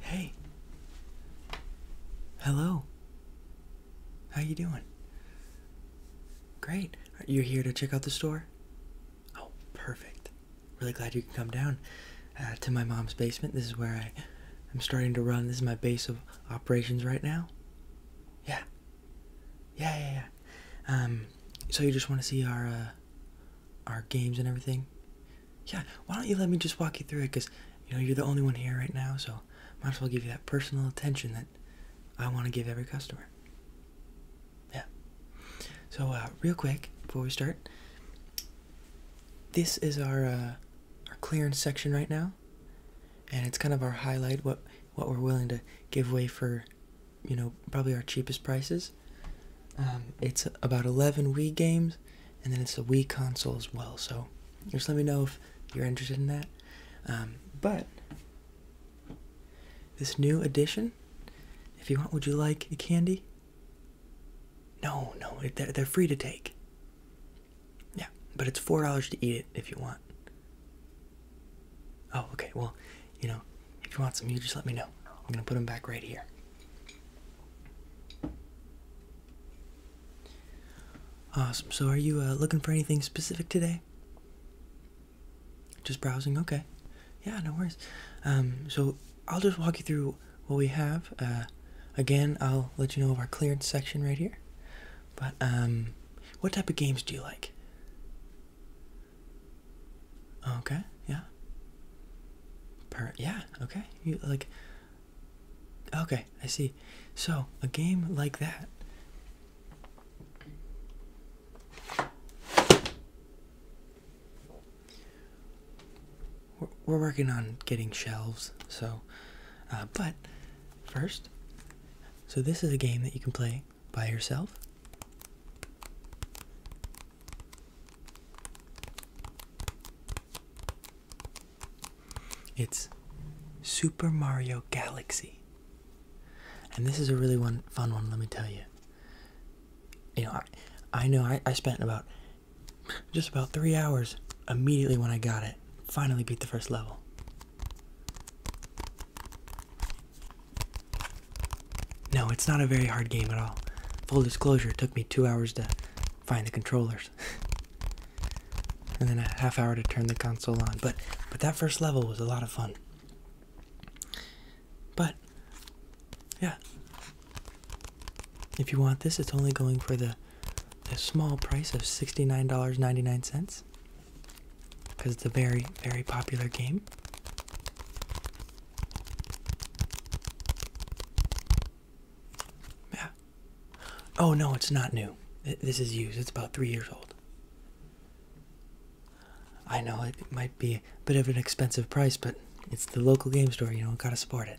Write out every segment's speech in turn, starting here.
Hey. Hello. How you doing? Great. You're here to check out the store? Oh, perfect. Really glad you can come down uh, to my mom's basement. This is where I am starting to run. This is my base of operations right now. Yeah. Yeah, yeah, yeah. Um, so you just want to see our uh, our games and everything yeah why don't you let me just walk you through it because you know you're the only one here right now so might as well give you that personal attention that i want to give every customer yeah so uh, real quick before we start this is our uh, our clearance section right now and it's kind of our highlight what what we're willing to give away for you know, probably our cheapest prices. Um, it's about 11 Wii games, and then it's a Wii console as well. So just let me know if you're interested in that. Um, but this new edition, if you want, would you like a candy? No, no, they're, they're free to take. Yeah, but it's $4 to eat it if you want. Oh, okay, well, you know, if you want some, you just let me know. I'm gonna put them back right here. Awesome. So, are you uh, looking for anything specific today? Just browsing. Okay. Yeah, no worries. Um, so, I'll just walk you through what we have. Uh, again, I'll let you know of our clearance section right here. But um, what type of games do you like? Okay, yeah. Per yeah, okay. You like Okay, I see. So, a game like that we're, working on getting shelves, so uh, but first, so this is a game that you can play by yourself? It's Super Mario Galaxy. And this is a really one fun one, let me tell you. You know, I, I know I, I spent about just about three hours immediately when I got it. Finally beat the first level. No, it's not a very hard game at all. Full disclosure, it took me two hours to find the controllers. and then a half hour to turn the console on. But but that first level was a lot of fun. But yeah. If you want this, it's only going for the the small price of $69.99 because it's a very, very popular game. Yeah. Oh no, it's not new. This is used. It's about three years old. I know it might be a bit of an expensive price, but it's the local game store, you know, gotta support it.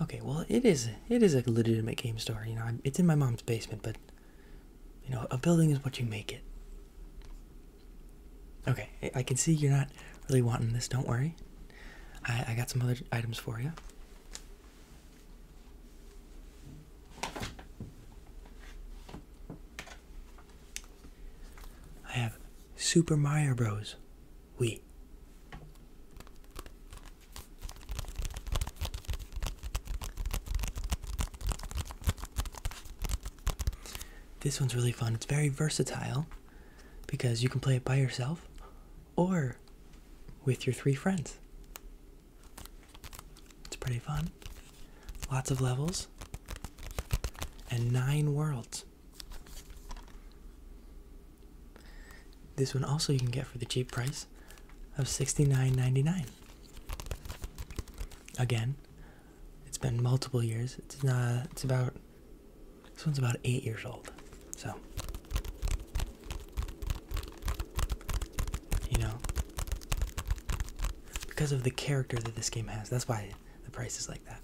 Okay, well, it is it is a legitimate game store. You know, it's in my mom's basement, but you know, a building is what you make it. Okay, I can see you're not really wanting this, don't worry. I, I got some other items for you. I have Super Mario Bros. We. This one's really fun. It's very versatile because you can play it by yourself or with your three friends. It's pretty fun. Lots of levels and nine worlds. This one also you can get for the cheap price of $69.99. Again, it's been multiple years. It's not. It's about. This one's about eight years old. So. You know. Because of the character that this game has, that's why the price is like that.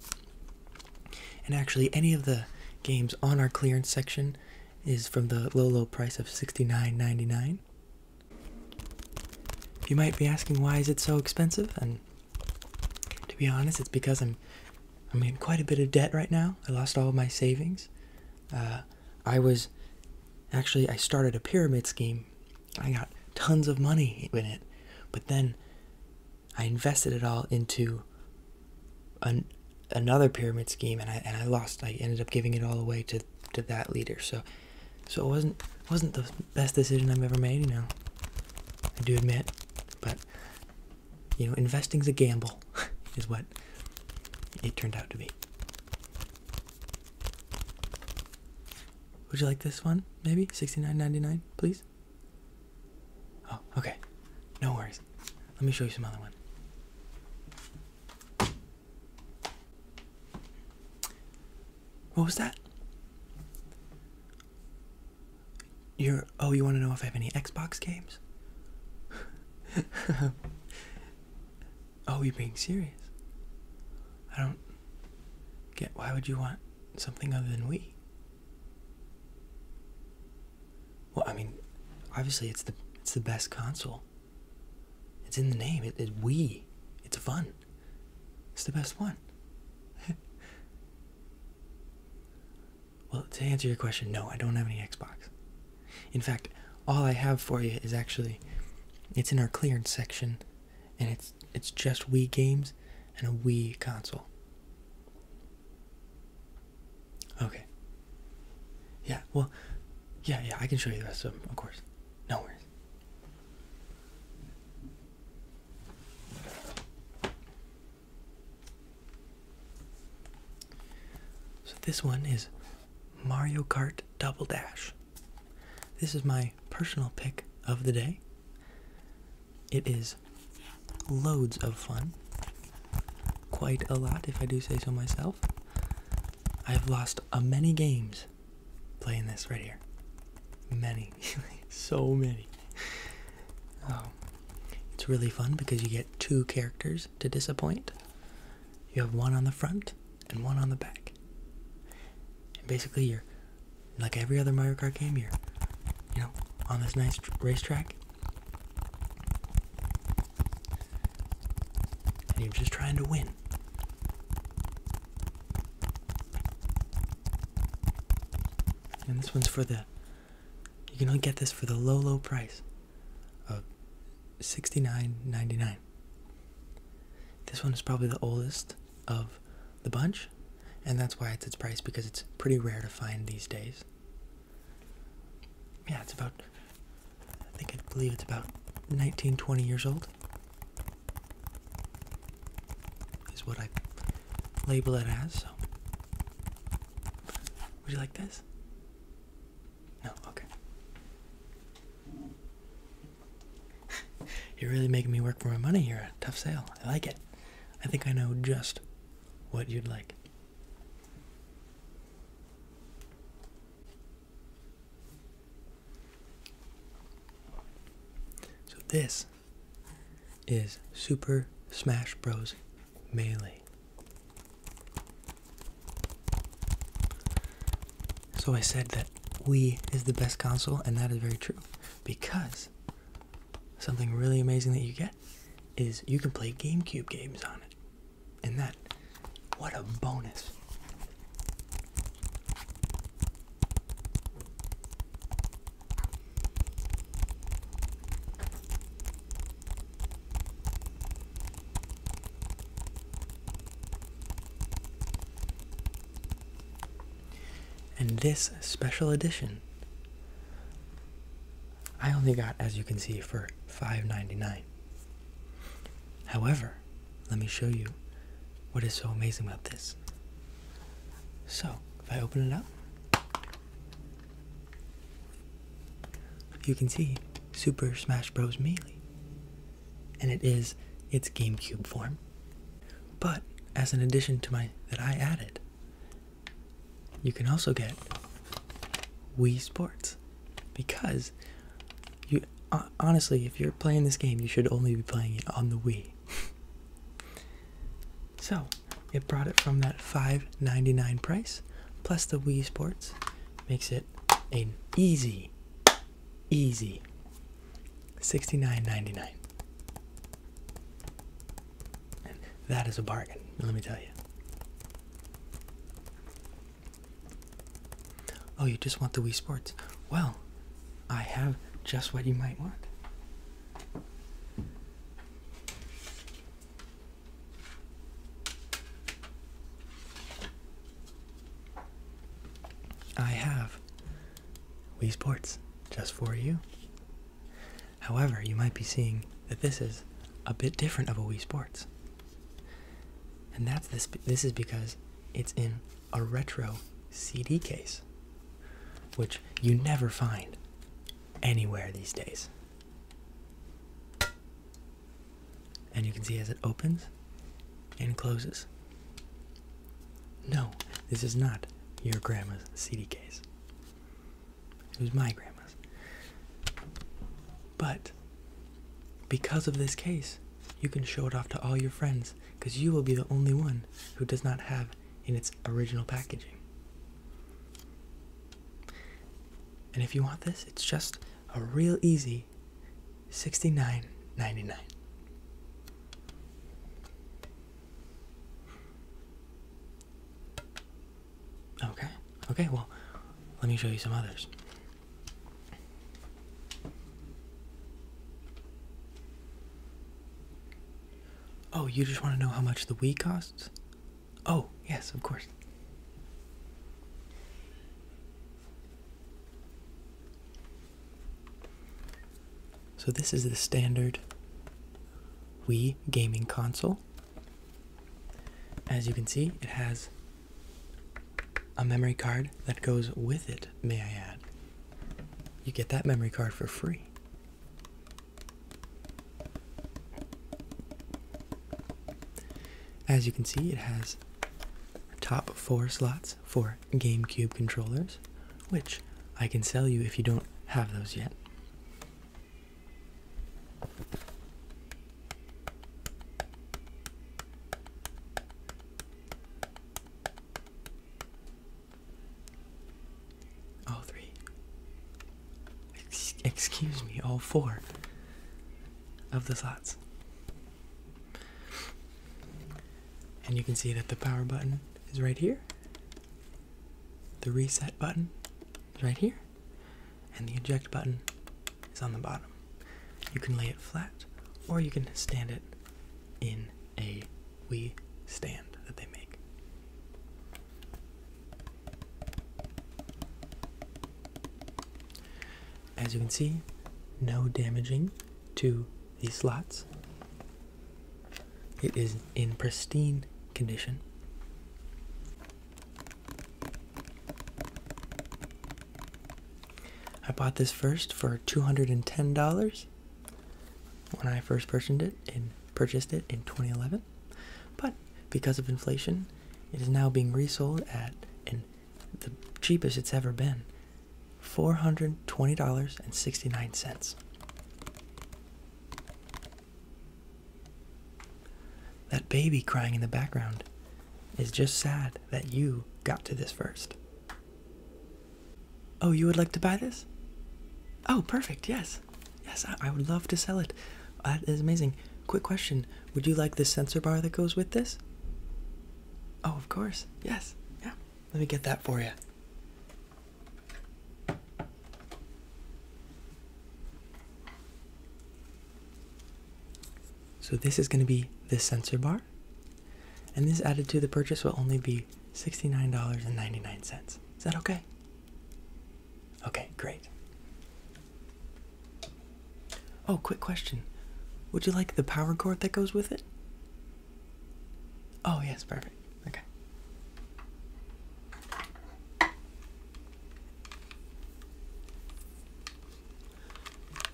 And actually, any of the games on our clearance section is from the low low price of $69.99 you might be asking why is it so expensive? And to be honest, it's because I'm I'm in quite a bit of debt right now. I lost all of my savings. Uh, I was actually I started a pyramid scheme. I got tons of money in it, but then I invested it all into another pyramid scheme, and I and I lost. I ended up giving it all away to to that leader. So so it wasn't wasn't the best decision I've ever made, you know. I do admit, but you know, investing's a gamble is what it turned out to be. Would you like this one? Maybe 69.99, please. Oh, okay. No worries. Let me show you some other one. What was that? You're oh, you want to know if I have any Xbox games? oh, you're being serious. I don't get why would you want something other than we. Well, I mean, obviously it's the it's the best console. It's in the name. It's it we. It's fun. It's the best one. well, to answer your question, no, I don't have any Xbox. In fact, all I have for you is actually it's in our clearance section and it's it's just Wii games and a Wii console. Okay. Yeah, well, yeah, yeah, I can show you the rest of them, of course. No worries. So this one is Mario Kart Double Dash. This is my personal pick of the day. It is loads of fun. Quite a lot, if I do say so myself. I have lost a many games playing this right here. Many, so many. Um, it's really fun because you get two characters to disappoint. You have one on the front and one on the back. And basically, you're like every other Mario Kart game. you you know, on this nice racetrack, and you're just trying to win. And this one's for the. You can only get this for the low, low price of sixty-nine ninety-nine. This one is probably the oldest of the bunch, and that's why it's its price because it's pretty rare to find these days. Yeah, it's about I think I believe it's about 19, 20 years old. Is what I label it as. So, would you like this? No, okay. You're really making me work for my money here. Tough sale. I like it. I think I know just what you'd like. So this is Super Smash Bros. Melee. So I said that Wii is the best console, and that is very true. Because something really amazing that you get is you can play GameCube games on it. And that, what a bonus. And this special edition I only got, as you can see, for $5.99. However, let me show you what is so amazing about this. So, if I open it up, you can see Super Smash Bros. Melee. And it is its GameCube form. But as an addition to my that I added, you can also get Wii Sports because you uh, honestly, if you're playing this game, you should only be playing it on the Wii. so it brought it from that $5.99 price plus the Wii Sports makes it an easy, easy $69.99. that is a bargain, let me tell you. Oh, you just want the Wii Sports? Well, I have just what you might want. I have Wii Sports just for you. However, you might be seeing that this is a bit different of a Wii Sports. And that's this this is because it's in a retro CD case, which you never find anywhere these days. And you can see as it opens and closes. No, this is not your grandma's CD case. It was my grandma's. But because of this case, you can show it off to all your friends because you will be the only one who does not have in its original packaging. And if you want this, it's just a real easy sixty-nine ninety-nine. Okay. Okay, well, let me show you some others. Oh, you just want to know how much the Wii costs? Oh, yes, of course. So, this is the standard Wii gaming console. As you can see, it has a memory card that goes with it, may I add. You get that memory card for free. As you can see, it has top four slots for GameCube controllers, which I can sell you if you don't have those yet. Oh, three. Ex excuse me, all four of the slots. And you can see that the power button is right here, the reset button right here, and the eject button is on the bottom. You can lay it flat, or you can stand it in a wee stand that they make. As you can see, no damaging to the slots. It is in pristine condition. I bought this first for $210 when I first purchased it and purchased it in 2011. But because of inflation, it is now being resold at and the cheapest it's ever been, $420.69. That baby crying in the background is just sad that you got to this first. Oh, you would like to buy this? Oh, perfect. Yes. Yes, I, would love to sell it. That is amazing. Quick question Would you like the sensor bar that goes with this? Oh, of course. Yes. Yeah. Let me get that for you. So this is going to be the sensor bar. And this added to the purchase will only be $69.99. Is that okay? Okay, great. Oh, quick question. Would you like the power cord that goes with it? Oh, yes, perfect. Okay.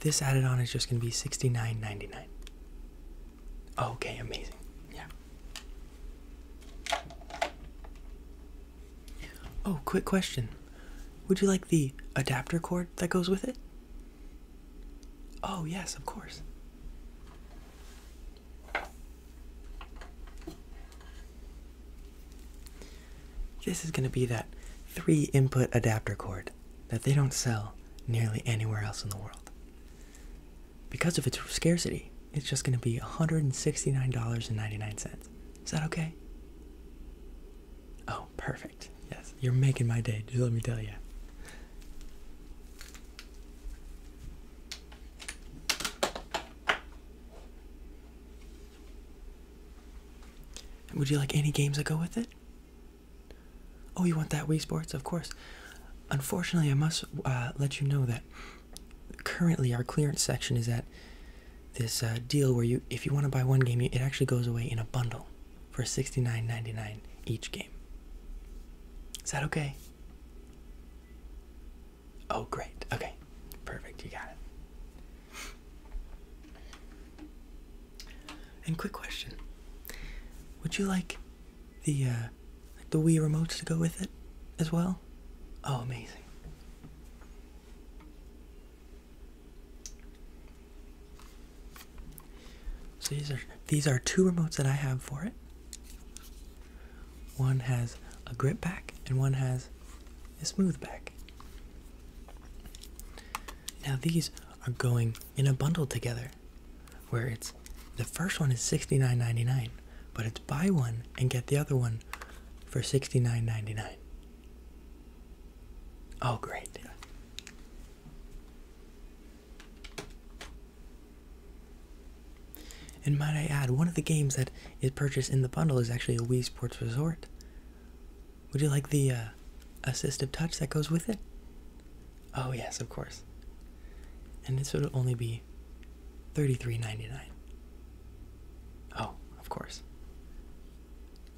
This added on is just going to be sixty nine ninety nine. Okay, amazing. Yeah. Oh, quick question. Would you like the adapter cord that goes with it? Oh, yes, of course. This is going to be that three input adapter cord that they don't sell nearly anywhere else in the world. Because of its scarcity, it's just going to be $169.99. Is that okay? Oh, perfect. Yes, you're making my day, just let me tell you. Would you like any games that go with it? Oh, you want that Wii Sports? Of course. Unfortunately, I must uh, let you know that currently our clearance section is at this uh, deal where you, if you want to buy one game, it actually goes away in a bundle for sixty-nine ninety-nine each game. Is that okay? Oh, great. Okay. Perfect. You got it. And quick question. Would you like the uh like the Wii remotes to go with it as well? Oh, amazing. So these are these are two remotes that I have for it. One has a grip back and one has a smooth back. Now these are going in a bundle together where it's the first one is $69.99, but it's buy one and get the other one for $69.99. Oh, great. And might I add, one of the games that is purchased in the bundle is actually a Wii Sports Resort. Would you like the uh, assistive touch that goes with it? Oh yes, of course. And this would only be $33.99. Oh, of course.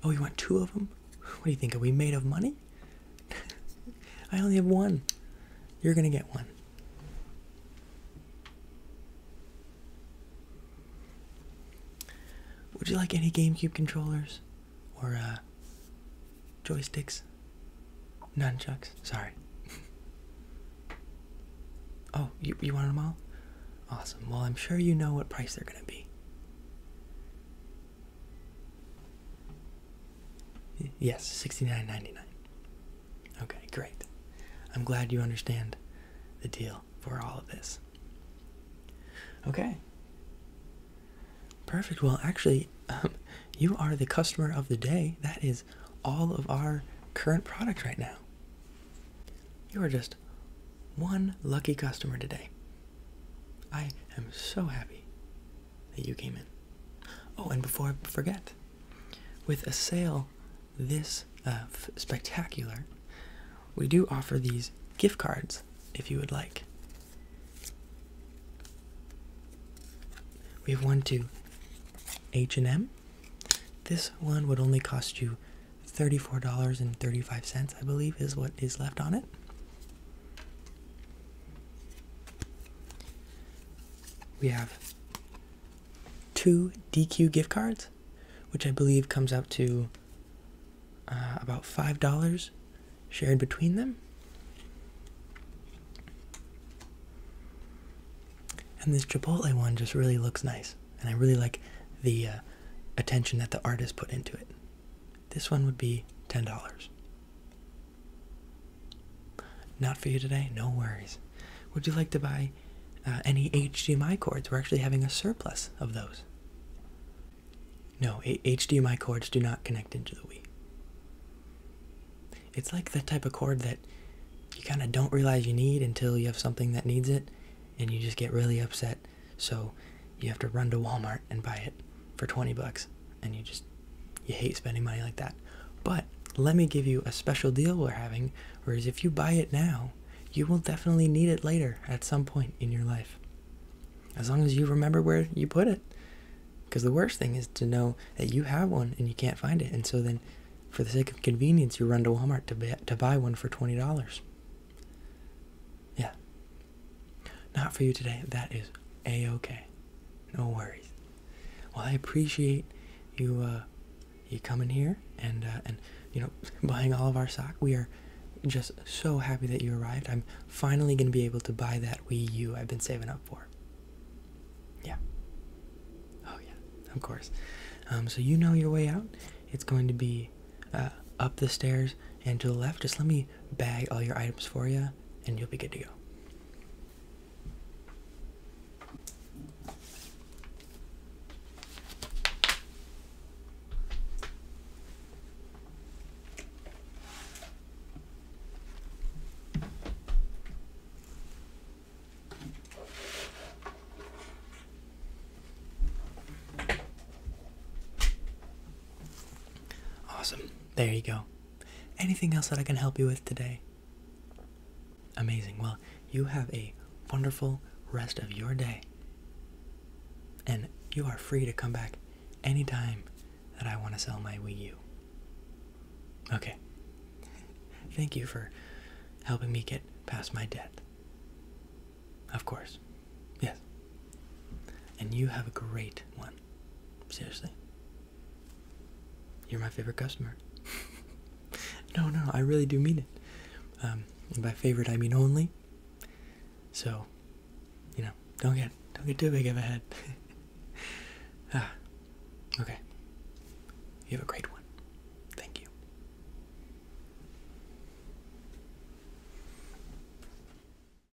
Oh, you want two of them? What do you think? Are we made of money? I only have one. You're going to get one. Would you like any GameCube controllers or uh, joysticks? Nunchucks? Sorry. oh, you, you wanted them all? Awesome. Well, I'm sure you know what price they're going to be. Yes, sixty-nine ninety-nine. Okay, great. I'm glad you understand the deal for all of this. Okay. Perfect. Well, actually, um, you are the customer of the day. That is all of our current product right now. You are just one lucky customer today. I am so happy that you came in. Oh, and before I forget, with a sale this uh, spectacular, we do offer these gift cards if you would like. We have one to H&M. This one would only cost you $34.35, I believe is what is left on it. We have two DQ gift cards, which I believe comes out to uh, about $5 shared between them. And this Chipotle one just really looks nice. And I really like the uh, attention that the artist put into it. This one would be $10. Not for you today? No worries. Would you like to buy uh, any HDMI cords? We're actually having a surplus of those. No, HDMI cords do not connect into the Wii. It's like that type of cord that you kind of don't realize you need until you have something that needs it, and you just get really upset, so you have to run to Walmart and buy it for 20 bucks and you just you hate spending money like that but let me give you a special deal we're having whereas if you buy it now you will definitely need it later at some point in your life as long as you remember where you put it because the worst thing is to know that you have one and you can't find it and so then for the sake of convenience you run to walmart to, be, to buy one for $20 yeah not for you today. That is a okay. No worries. Well, I appreciate you uh, you coming here and uh, and you know buying all of our stock. We are just so happy that you arrived. I'm finally gonna be able to buy that Wii U I've been saving up for. Yeah. Oh yeah, of course. Um, so you know your way out. It's going to be uh, up the stairs and to the left. Just let me bag all your items for you, and you'll be good to go. Awesome. There you go anything else that I can help you with today? Amazing. Well, you have a wonderful rest of your day. And you are free to come back anytime that I want to sell my Wii U. Okay. Thank you for helping me get past my debt. Of course. Yes. And you have a great one. Seriously. You're my favorite customer. no, no, I really do mean it. Um, by favorite, I mean only. So, you know, don't get don't get too big of a head. ah, okay. You have a great one. Thank you.